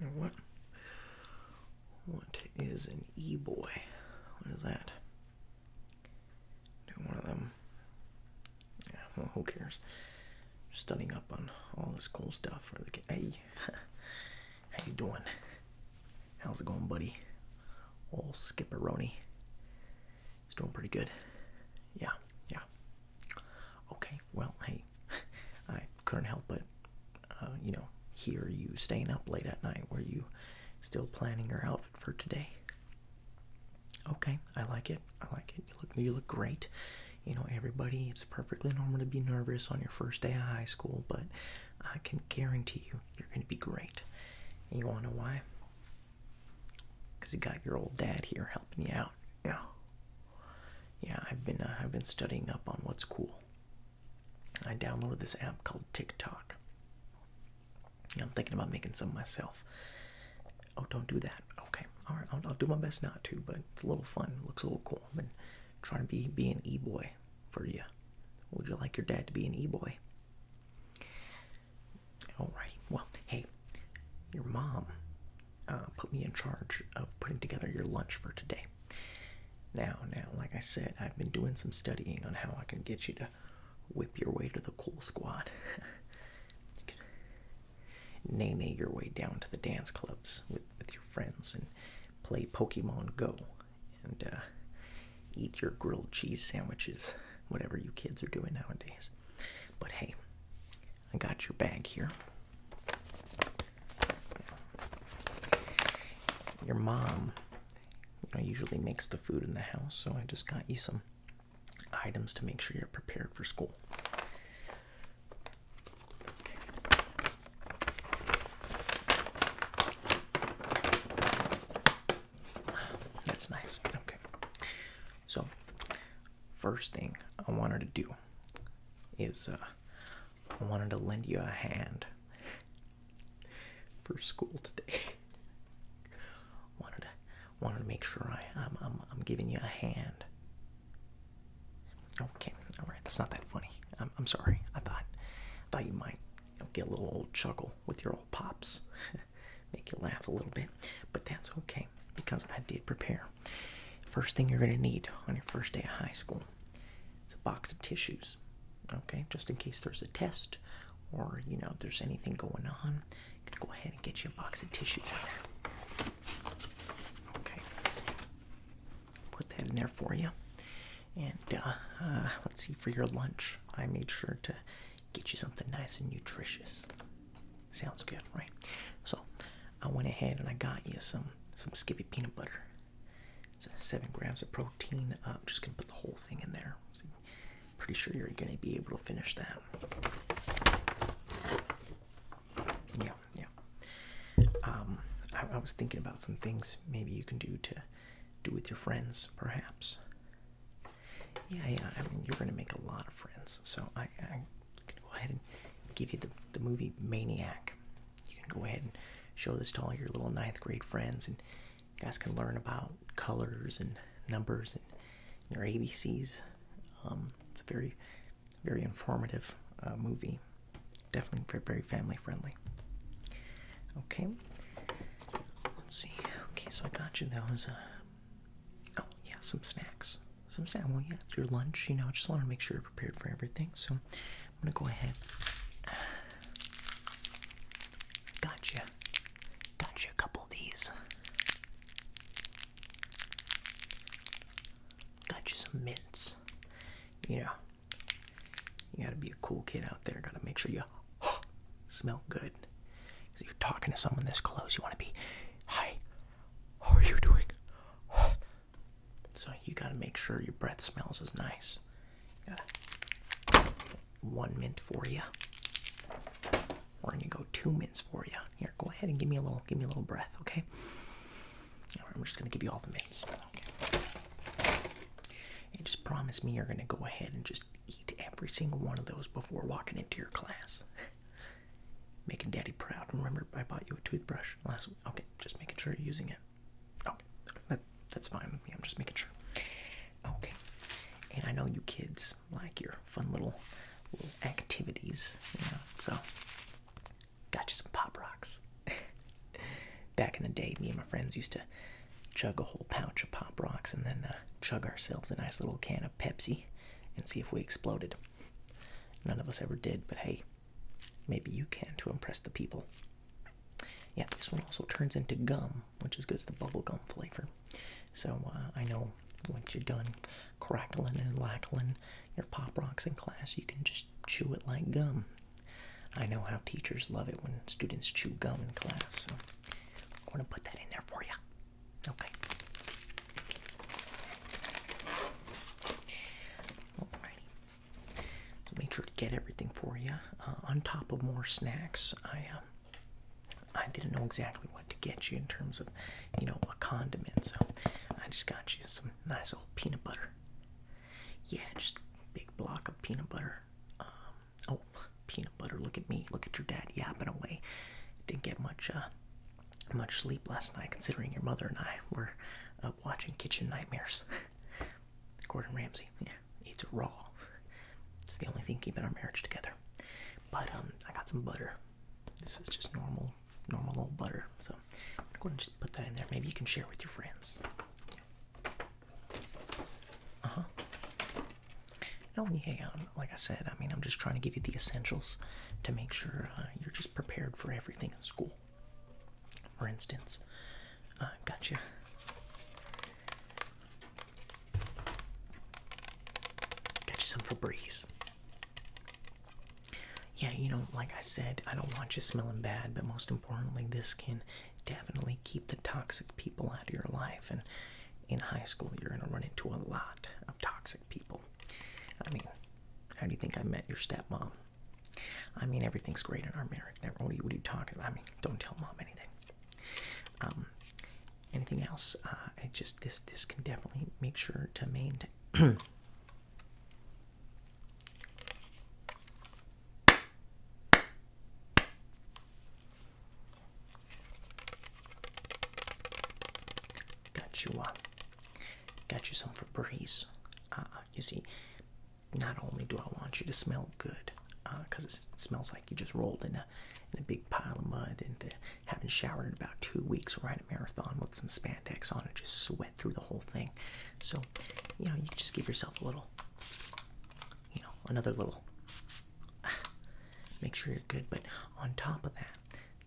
Now what? What is an e-boy? What is that? Do one of them yeah, who cares? Studying up on all this cool stuff for the kid. Hey, how you doing? How's it going, buddy? Old Skipperoni. He's doing pretty good. Yeah, yeah. Okay, well, hey, I couldn't help but, uh, you know, hear you staying up late at night. Were you still planning your outfit for today? Okay, I like it. I like it. You look you look great. You know, everybody, it's perfectly normal to be nervous on your first day of high school, but I can guarantee you you're going to be great. And you want to know why? Cuz you got your old dad here helping you out. Yeah. Yeah, I've been uh, I've been studying up on what's cool. I downloaded this app called TikTok. I'm thinking about making some myself. Oh, don't do that. Okay, all right. do my best not to, but it's a little fun. Looks a little cool. I've been trying to be be an e-boy for you. Would you like your dad to be an e-boy? All right. Well, hey, your mom uh, put me in charge of putting together your lunch for today. Now, now, like I said, I've been doing some studying on how I can get you to whip your way to the cool squad. nay your way down to the dance clubs with, with your friends and play Pokemon Go and uh, eat your grilled cheese sandwiches, whatever you kids are doing nowadays. But hey, I got your bag here. Your mom you know, usually makes the food in the house, so I just got you some items to make sure you're prepared for school. That's nice. Okay. So, first thing I wanted to do is uh, I wanted to lend you a hand for school today. wanted to wanted to make sure I, am giving you a hand. Okay, all right, that's not that funny. I'm, sorry. I thought, thought you might get a little old chuckle with your old pops, make you laugh a little bit, but that's okay because I did prepare. First thing you're going to need on your first day of high school is a box of tissues. Okay, just in case there's a test or you know if there's anything going on, go ahead and get you a box of tissues out. Okay. Put that in there for you. And uh, uh, let's see, for your lunch, I made sure to get you something nice and nutritious. Sounds good, right? So I went ahead and I got you some some Skippy peanut butter. It's seven grams of protein. I'm just gonna put the whole thing in there. Pretty sure you're going to be able to finish that. Yeah, yeah. Um, I, was thinking about some things maybe you can do to do with your friends, perhaps. Yeah, yeah. I mean, you're going to make a lot of friends, so I, I'm going to go ahead and give you the the movie Maniac. You can go ahead and show this to all your little ninth grade friends, and you guys can learn about colors and numbers and your ABCs. Um, it's a very, very informative uh, movie. Definitely very, very family friendly. Okay, let's see. Okay, so I got you those. Uh, oh, yeah, some snacks. Some snack. Well, yeah, it's your lunch. You know, I just want to make sure you're prepared for everything. So I'm gonna go ahead. Gotcha. Got you a couple of these. Got you some mints. You know, you gotta be a cool kid out there. Gotta make sure you smell good. Cause you're talking to someone this close. You wanna be, hi, how are you doing? so you gotta make sure your breath smells as nice. gotta one mint for you. We're gonna go two minutes for you. Here, go ahead and give me a little, give me a little breath, okay? All right, I'm just gonna give you all the mints. And just promise me you're gonna go ahead and just eat every single one of those before walking into your class. making Daddy proud. Remember, I bought you a toothbrush last week. Okay, just making sure you're using it. Okay, that's fine with me. I'm just making sure. Okay, and I know you kids like your fun little, activities, you know. So, got you some pop rocks. Back in the day, me and my friends used to chug a whole pouch of pop rocks and then uh, chug ourselves a nice little can of Pepsi and see if we exploded. None of us ever did, but hey, maybe you can to impress the people. Yeah, this one also turns into gum which is good. as the bubblegum flavor. So uh, I know once you're done crackling and lackling your pop rocks in class, you can just chew it like gum. I know how teachers love it when students chew gum in class, so I'm going to put that in there for you. Okay. Alrighty. So make sure to get everything for you. Uh, on top of more snacks, I um, I didn't know exactly what to get you in terms of, you know, a condiment, so I just got you some nice old peanut butter. Yeah, just big block of peanut butter. Um, oh, peanut butter. Look at me. Look at your dad yapping away. Didn't get much, uh, much sleep last night, considering your mother and I were watching Kitchen Nightmares. Gordon Ramsay, yeah, eats raw. It's the only thing keeping our marriage together. But um, I got some butter. This is just normal, normal old butter. So I'm going to just put that in there. Maybe you can share with your friends. Uh huh. No, yeah, like I said, I mean, I'm just trying to give you the essentials to make sure uh, you're just prepared for everything in school. For instance, uh, got you Got you some Febreze. Yeah, you know, like I said, I don't want you smelling bad, but most importantly, this can definitely keep the toxic people out of your life. And in high school, you're going to run into a lot of toxic people. I mean, how do you think I met your stepmom? I mean, everything's great in our marriage. Never, what, are you, what are you talking about? I mean, don't tell mom anything. Um, anything else uh, I just this this can definitely make sure to maintain Got you, uh, got you some for breeze. Uh, you see, not only do I want you to smell good, because it smells like you just rolled in a, in a big pile of mud and having showered in about two weeks. Ride a marathon with some spandex on and just sweat through the whole thing. So, you know, you just give yourself a little, you know, another little. make sure you're good. But on top of that,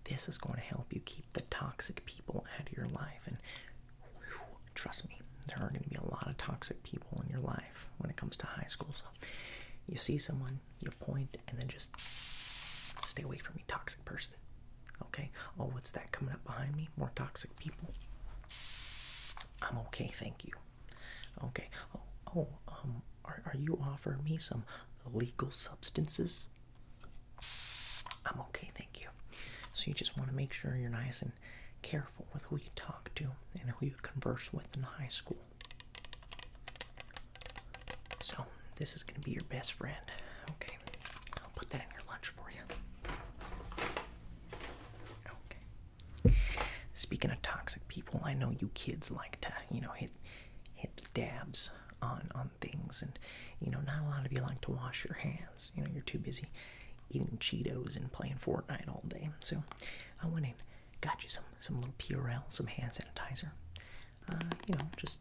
this is going to help you keep the toxic people out of your life. And trust me, there are going to be a lot of toxic people in your life when it comes to high school you see someone, you point, and then just stay away from me, toxic person. Okay? Oh, what's that coming up behind me? More toxic people. I'm okay, thank you. Okay. Oh, oh um, are, are you offering me some illegal substances? I'm okay, thank you. So you just want to make sure you're nice and careful with who you talk to and who you converse with in high school. So, this is going to be your best friend. Okay. I'll put that in your lunch for you. Okay. Speaking of toxic people, I know you kids like to, you know, hit hit dabs on on things and you know, not a lot of you like to wash your hands. You know, you're too busy eating Cheetos and playing Fortnite all day. So, I am winning got you some some little P.R.L. some hand sanitizer. Uh, you know, just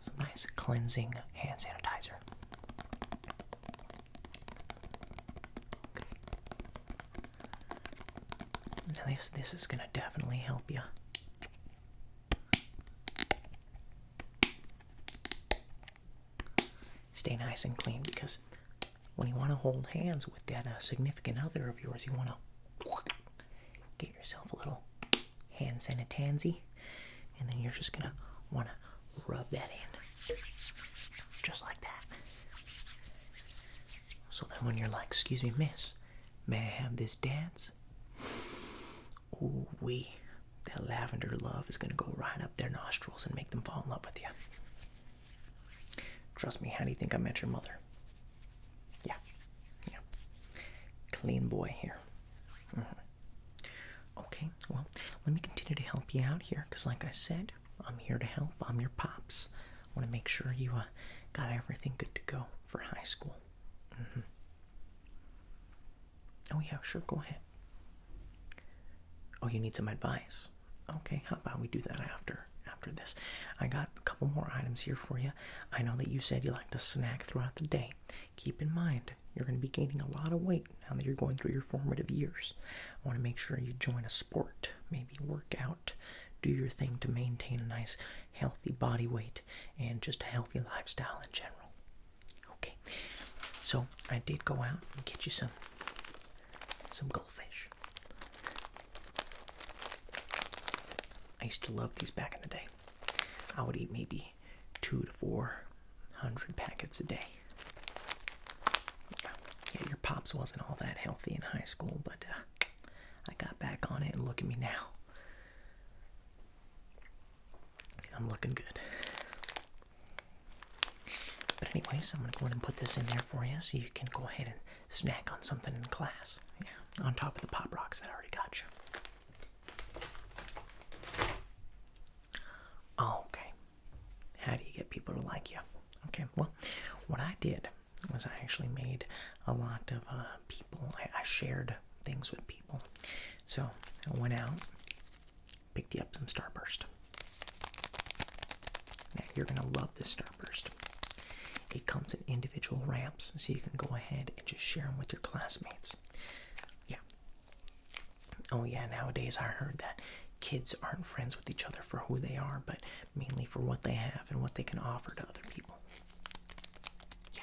some nice cleansing hand sanitizer. Okay. Now this this is gonna definitely help you. Stay nice and clean because when you want to hold hands with that uh, significant other of yours, you want to get yourself a little hand sanitizer, and then you're just gonna want to rub that in, just like that. So then, when you're like, "Excuse me, miss, may I have this dance?" Ooh wee, that lavender love is gonna go right up their nostrils and make them fall in love with you. Trust me, how do you think I met your mother? Yeah, yeah. Clean boy here. Mm-hmm. Okay, well, let me continue to help you out here because, like I said, I'm here to help. I'm your pops. I want to make sure you uh, got everything good to go for high school. Mm-hmm. Oh, yeah, sure, go ahead. Oh, you need some advice? Okay, how about we do that after after this? I got a couple more items here for you. I know that you said you like to snack throughout the day. Keep in mind, you're going to be gaining a lot of weight now that you're going through your formative years. I want to make sure you join a sport, maybe work out, do your thing to maintain a nice healthy body weight and just a healthy lifestyle in general. Okay. So, I did go out and get you some some goldfish. I used to love these back in the day. I would eat maybe two to four hundred packets a day. Yeah, your pops wasn't all that healthy in high school, but uh, I got back on it, and look at me now. I'm looking good. But anyway, so I'm gonna go ahead and put this in there for you so you can go ahead and snack on something in class. on top of the pop rocks that I already got you. Okay. How do you get people to like you? Okay, well, what I did was I actually made a lot of uh, people, I shared things with people. So I went out Pick you up some Starburst. Now you're gonna love this Starburst. It comes in individual ramps, so you can go ahead and just share them with your classmates. Yeah. Oh yeah, nowadays I heard that kids aren't friends with each other for who they are, but mainly for what they have and what they can offer to other people. Yeah.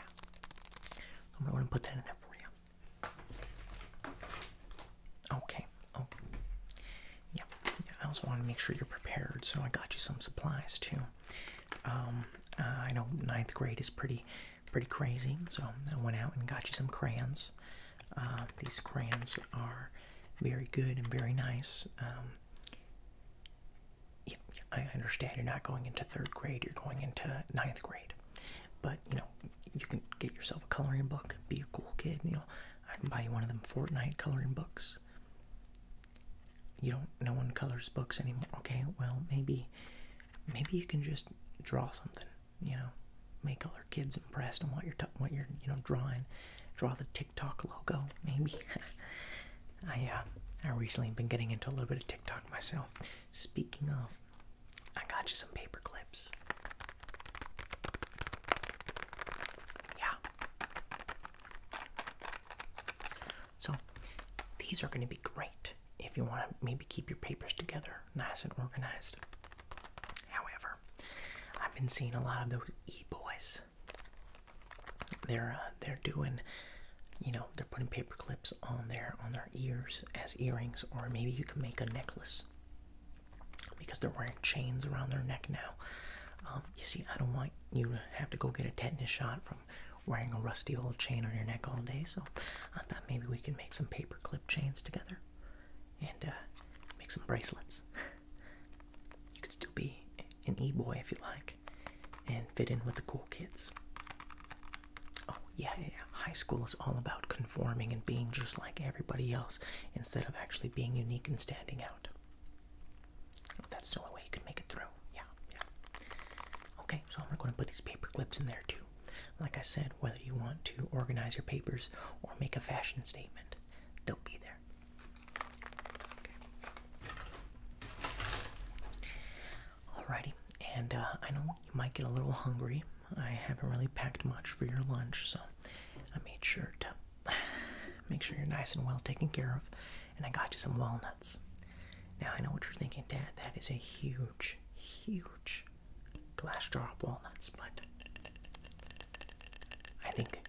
I'm gonna put that in there for you. Okay. Oh. Yeah. I also want to make sure you're prepared, so I got you some supplies too. Um, uh, I know ninth grade is pretty, pretty crazy, so I went out and got you some crayons. Uh, these crayons are very good and very nice. Um, I understand you're not going into third grade; you're going into ninth grade. But you know, you can get yourself a coloring book, be a cool kid, and you'll I can buy you one of them Fortnite coloring books. You don't. No one colors books anymore. Okay. Well, maybe, maybe you can just draw something. You know, make other kids impressed on what you're what you're you know drawing. Draw the TikTok logo. Maybe. I uh, I recently been getting into a little bit of TikTok myself. Speaking of, I got you some paper clips. Yeah. So these are going to be great if you want to maybe keep your papers together nice and organized. However, I've been seeing a lot of those e-boys. They're uh, they're doing you know, they're putting paper clips on their on their ears as earrings or maybe you can make a necklace because they're wearing chains around their neck now. Um, you see, I don't want you to have to go get a tetanus shot from wearing a rusty old chain on your neck all day. So I thought maybe we could make some paperclip chains together and uh, make some bracelets. you could still be an e-boy if you like and fit in with the cool kids. Oh, yeah, yeah, high school is all about conforming and being just like everybody else instead of actually being unique and standing out. That's the only way you can make it through. Yeah, yeah. Okay, so I'm going to put these paper clips in there too. Like I said, whether you want to organize your papers or make a fashion statement, they'll be there. Alrighty, and uh, I know you might get a little hungry. I haven't really packed much for your lunch, so I made sure to make sure you're nice and well taken care of, and I got you some walnuts. Now I know what you're thinking, Dad. That is a huge, huge glass jar of walnuts, but I think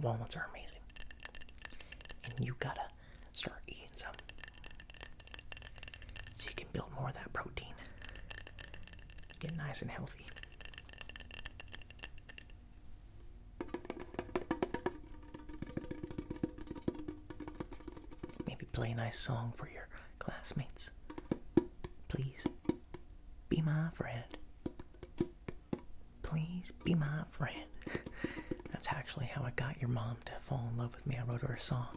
walnuts are amazing. And you gotta start eating some so you can build more of that protein get nice and healthy. Maybe play a nice song for your classmates. Please be my friend. Please be my friend. That's actually how I got your mom to fall in love with me. I wrote her a song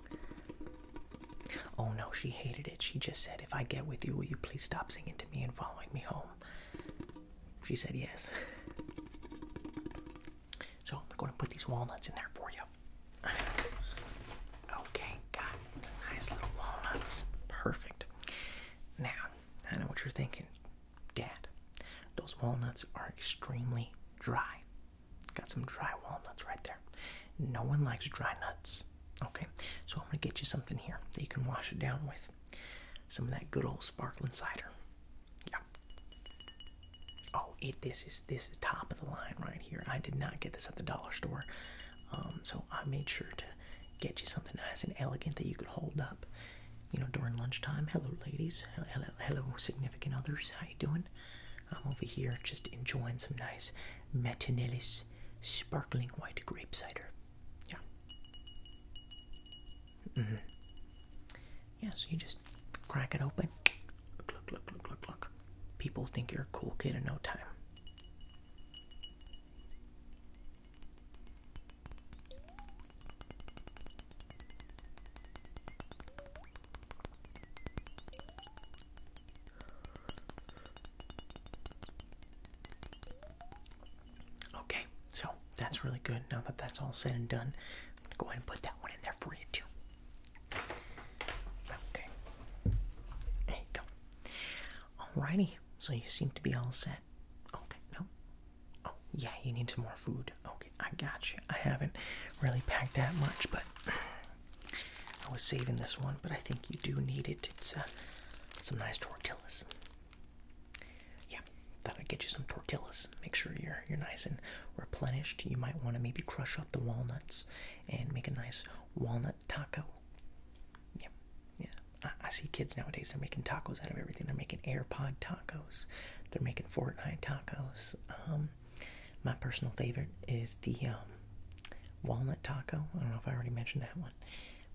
Oh no, she hated it. She just said, If I get with you, will you please stop singing to me and following me home? She said yes. So I'm going to put these walnuts in there for you. Okay, got nice little walnuts. Perfect. Now, I know what you're thinking. Dad, those walnuts are extremely dry. Got some dry walnuts right there. No one likes dry nuts. Okay, so I'm gonna get you something here that you can wash it down with. Some of that good old sparkling cider. Yeah. Oh, it this is this is top of the line right here. I did not get this at the dollar store. Um, so I made sure to get you something nice and elegant that you could hold up, you know, during lunchtime. Hello, ladies. Hello, hello significant others. How you doing? I'm over here just enjoying some nice matinelis sparkling white grape cider. Yeah. -hmm. Yeah, so you just crack it open. Look, look, look, look, look, look. People think you're a cool kid in no time. Okay, so that's really good. Now that that's all said and done, go ahead and put that one in there for you too. Okay, there you go. Alrighty, so you seem to be all set. Okay, no. Oh, yeah, you need some more food. Okay, I got you. I haven't really packed that much, but I was saving this one, but I think you do need it. It's uh, some nice tortillas. Yeah, thought I'd get you some tortillas. Make sure you're you're nice and replenished. You might want to maybe crush up the walnuts and make a nice walnut taco. Yeah, yeah. I, see kids nowadays. They're making tacos out of everything. They're making AirPod tacos. They're making Fortnite tacos. Um, my personal favorite is the um, walnut taco. I don't know if I already mentioned that one,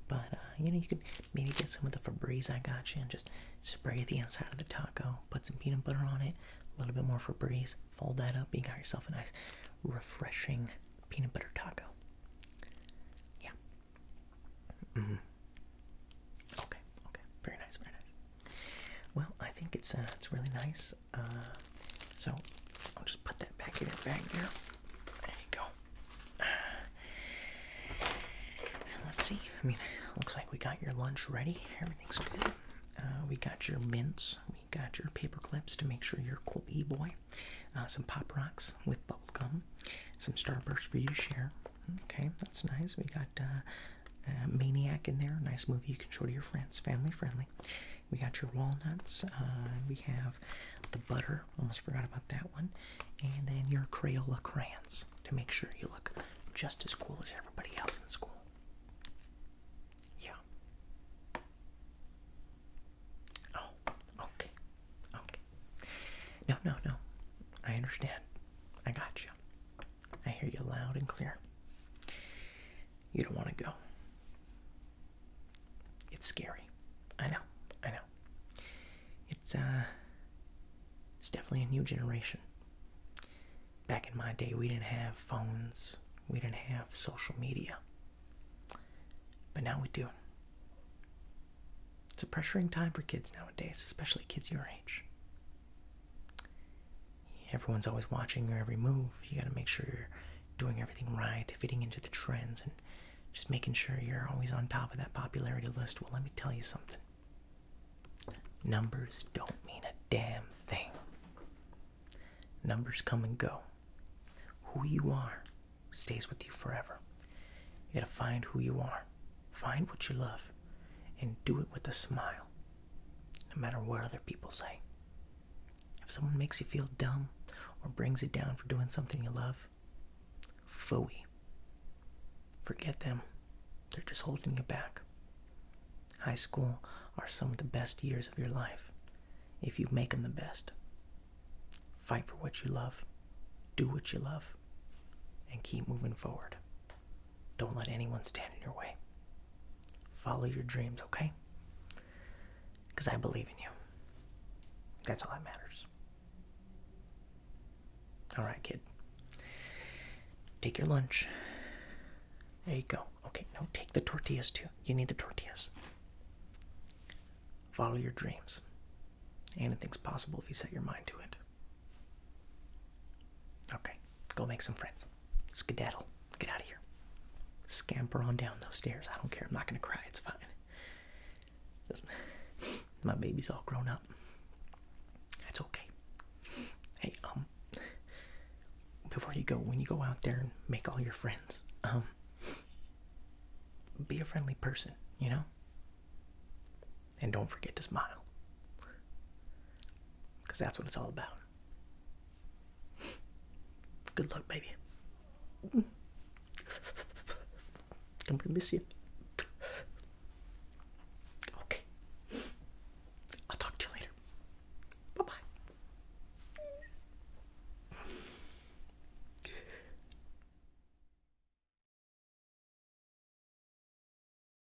but uh, you know you could maybe get some of the Febreze I got you and just spray the inside of the taco, put some peanut butter on it, a little bit more Febreze, fold that up, you got yourself a nice, refreshing peanut butter taco. Yeah. -hmm. Okay. Okay. Very nice. Very nice. Well, I think it's uh, it's really nice. Uh, so I'll just put that back in your bag there. There you go. let's see. I mean, looks like we got your lunch ready. Everything's good. Uh, we got your mints. We got your paper clips to make sure you're cool e-boy. Uh, some Pop Rocks with bubble gum. Some Starburst for you to share. Okay, that's nice. We got uh, Maniac in there. Nice movie you can show to your friends. Family friendly. We got your walnuts. Uh, we have the butter. Almost forgot about that one. And then your Crayola crayons to make sure you look just as cool as everybody else in school. Yeah. Oh, okay. Okay. No, no, no. I understand. I got you. I hear you loud and clear you don't want to go. It's scary. I know. I know. It's uh it's definitely a new generation. Back in my day, we didn't have phones. We didn't have social media. But now we do. It's a pressuring time for kids nowadays, especially kids your age everyone's always watching your every move. You got to make sure you're doing everything right, fitting into the trends, and just making sure you're always on top of that popularity list. Well, let me tell you something numbers don't mean a damn thing. Numbers come and go. Who you are stays with you forever. You got to find who you are, find what you love, and do it with a smile no matter what other people say. If someone makes you feel dumb or brings you down for doing something you love, phooey. Forget them. They're just holding you back. High school are some of the best years of your life if you make them the best. Fight for what you love, do what you love, and keep moving forward. Don't let anyone stand in your way. Follow your dreams, okay? Because I believe in you. That's all that matters. Alright, kid. Take your lunch. There you go. Okay, now take the tortillas too. You need the tortillas. Follow your dreams. Anything's possible if you set your mind to it. Okay, go make some friends. Skedaddle. Get out of here. Scamper on down those stairs. I don't care. I'm not going to cry. It's fine. my baby's all grown up. That's okay. Hey, um, before you go, when you go out there and make all your friends, um, be a friendly person, you know? And don't forget to smile. Because that's what it's all about. Good luck, baby. I'm gonna miss you. Okay. I'll talk to you later. Bye bye.